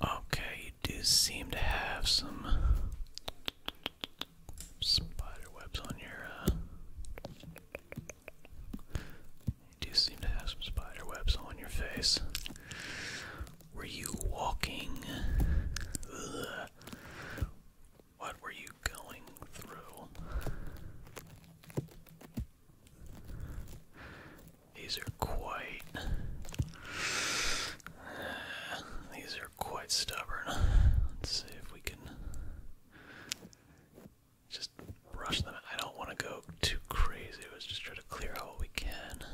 Okay, you do seem to have some spider webs on your. Uh, you do seem to have some spider on your face. Were you walking? What were you going through? These are quite. these are quite stubborn. Let's see if we can just brush them. I don't want to go too crazy. Let's just try to clear out what we can.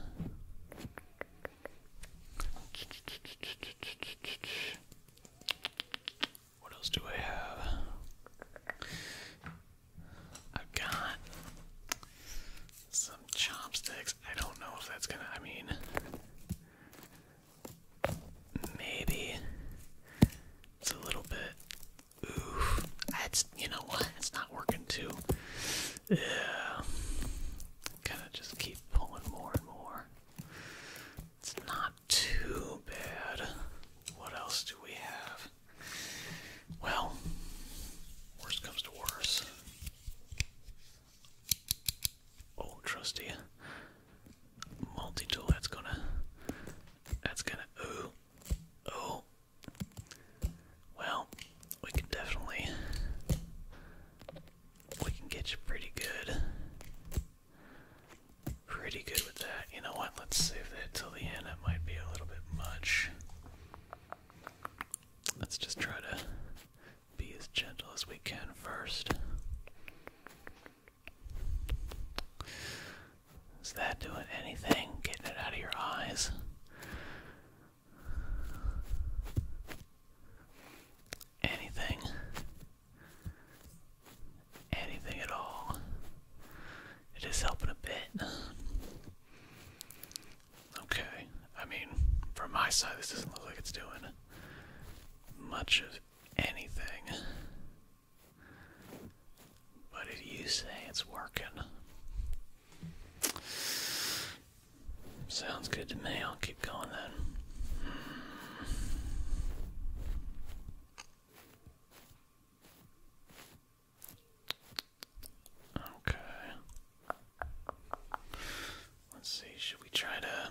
What else do I have? I've got some chopsticks. I don't know if that's gonna, I mean, maybe it's a little bit, oof. That's, you know what, it's not working too. Yeah. Gotta just keep pulling more and more. It's not too bad. What else do we have? Well, worst comes to worst. Oh, trusty multi-tool. That's gonna. That's gonna. Ooh. Oh. Well, we can definitely. We can get you pretty good. Pretty good with that. You know what? Let's save that till the end. That might be a little bit much. Let's just try to be as gentle as we can first. Is that doing anything? Getting it out of your eyes? Anything? Anything at all? It is helping a bit. Okay, I mean, from my side, this doesn't look like it's doing much of anything. But if you say it's working, sounds good to me. I'll keep going then. Okay. Let's see, should we try to.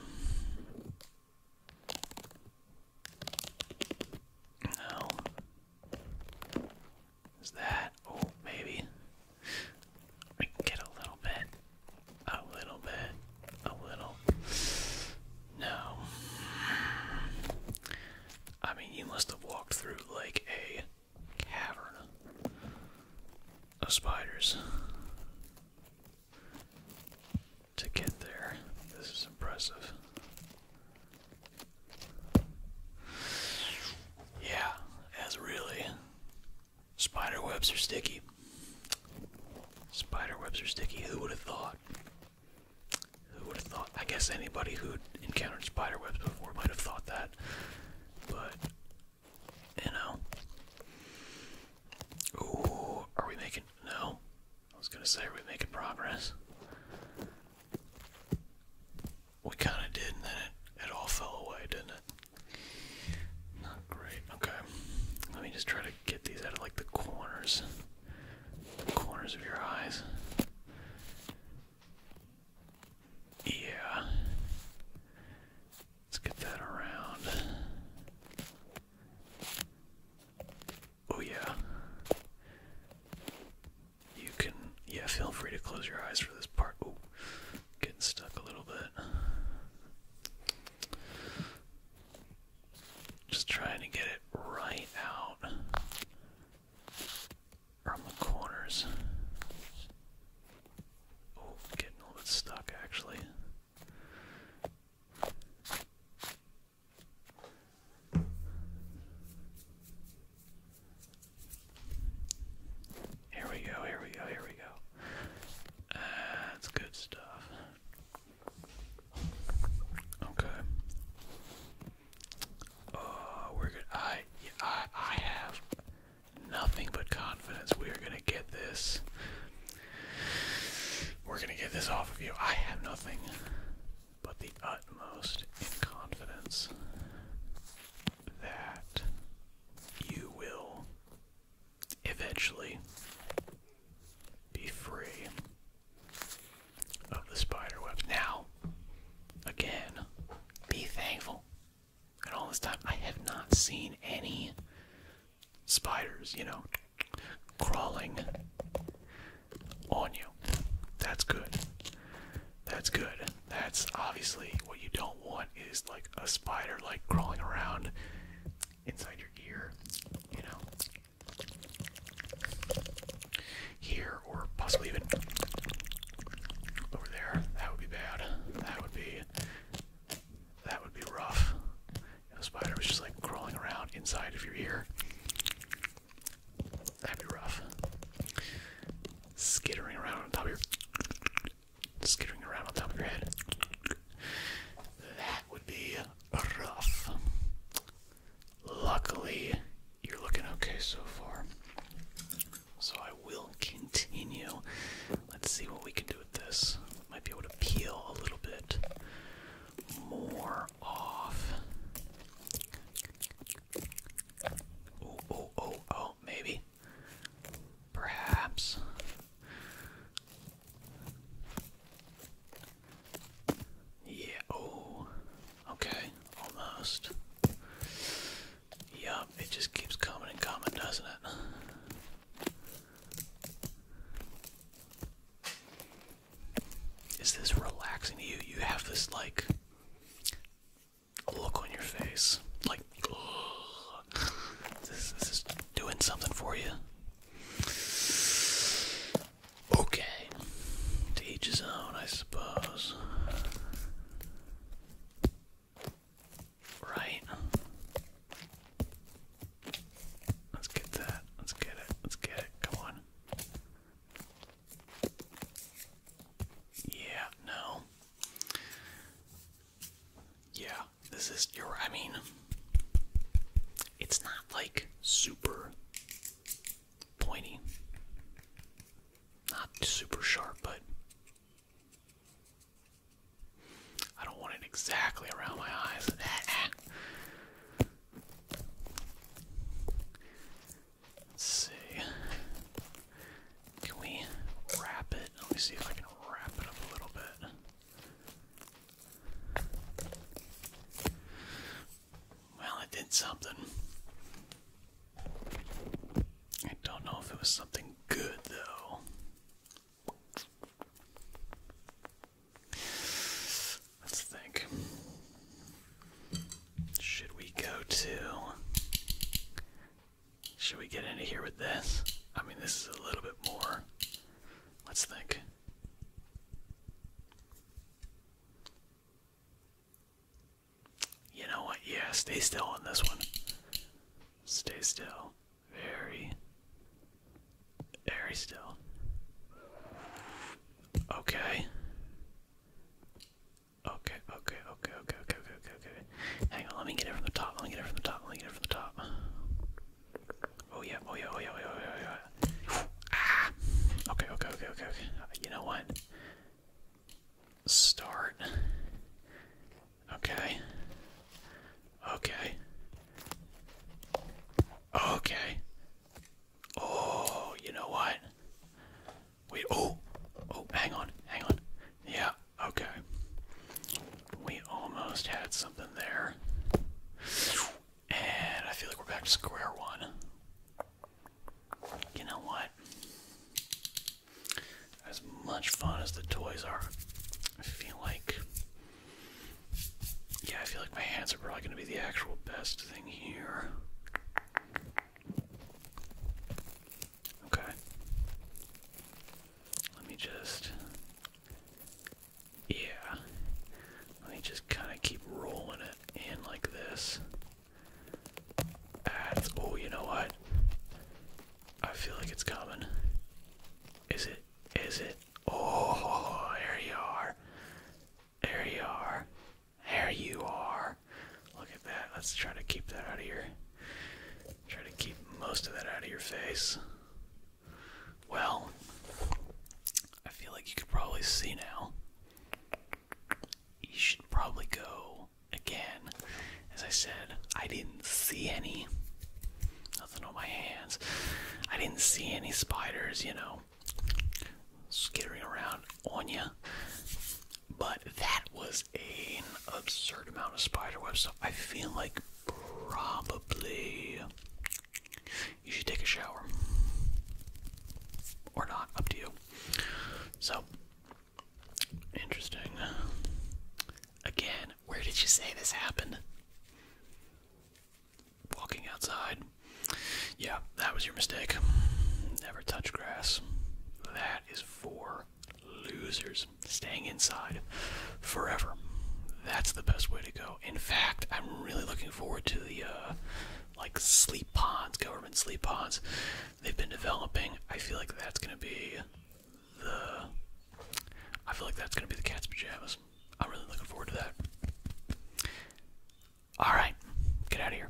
No. Is that. Oh, maybe. We get a little bit. A little bit. A little. No. I mean, you must have walked through like a cavern of spiders to get there. This is impressive. Yeah, that's really. Spider webs are sticky. Spider webs are sticky. Who would have thought? Who would have thought? I guess anybody who'd encountered spider webs before might have thought that. But, you know. Ooh, are we making. No. I was gonna say, are we making progress? We kinda did, and then it, it all fell away, didn't it? Not great. Okay. Let me just try to get these out of like the corners corners of your eyes. Yeah. Let's get that around. Oh, yeah. You can, yeah, feel free to close your eyes for this part. Oh, getting stuck a little bit. Just trying to get it right out from the corners. Oh, getting a little stuck actually. Here we go, here we go, here we go. that's good stuff. Okay. Uh, we're gonna. I, I, I have nothing but confidence. We're gonna get this. We're gonna get this off of you. I have nothing but the utmost in confidence that you will eventually be free of the spider webs. Now, again, be thankful. And all this time, I have not seen any spiders, you know, crawling on you. That's good. That's good. That's obviously what you don't want is like a spider like crawling around inside your ear, you know, here or possibly even over there. That would be bad. That would be that would be rough. If spider was just like crawling around inside of your ear. That'd be rough. Skittering around on top of your skittering around on top of your head would be rough. Luckily, you're looking okay so far. So I will continue. Let's see what we can do with this. Might be able to peel a little bit more off. Oh, oh, oh, oh, maybe. Perhaps. Yeah, oh, okay, almost. Yup, it just keeps coming and coming, doesn't it? Is this relaxing to you? You have this, like, look on your face. Like, this is doing something for you. Okay. To his own, I suppose. Right. Let's get that. Let's get it. Let's get it. Come on. Yeah, no. Yeah this is your. I mean, it's not like super pointy, not super sharp, but I don't want it exactly around my eyes. Let's see. Can we wrap it? Let me see if I can wrap it up a little bit. Well, it did something. I don't know if it was something good, though. Let's think. Should we go to should we get into here with this? I mean, this is a little bit more. Let's think. You know what? Yeah, stay still on this one. Stay still. Very, very still. Okay. Okay, okay, okay, okay, okay, okay, okay, okay. Hang on, let me get it from the top. Let me get it from the top. Let me get it from the top. Oh yeah, oh yeah, oh yeah, oh yeah, oh yeah. Oh, yeah. ah. Okay, okay, okay, okay, okay. Uh, you know what? Start. Okay. Okay. Okay. Oh, you know what? Wait, oh, oh, hang on, hang on. Yeah, okay. We almost had something there. And I feel like we're back to square one. You know what? As much fun as the toys are, I feel like. Yeah, I feel like my hands are probably going to be the actual best thing here. Okay. Let me just. Yeah. Let me just kind of keep rolling it in like this. oh, you know what? I feel like it's coming. Is it? Is it? Oh, there you are. There you are. There you are. Look at that. Let's try to keep that out of here. Try to keep most of that out of your face. Well, I feel like you could probably see now. You should probably go again. As I said, I didn't see any. Nothing on my hands. I didn't see any spiders, you know, skittering around on you. But that was an absurd amount of spider webs. So I feel like probably you should take a shower. Or not, up to you. So, interesting. Again, where did you say this happened? Walking outside. Yeah, that was your mistake. Never touch grass. That is for losers staying inside forever. That's the best way to go. In fact, I'm really looking forward to the uh, like sleep pods, government sleep pods they've been developing. I feel like that's gonna be the. I feel like that's gonna be the cat's pajamas. I'm really looking forward to that. All right, get out of here.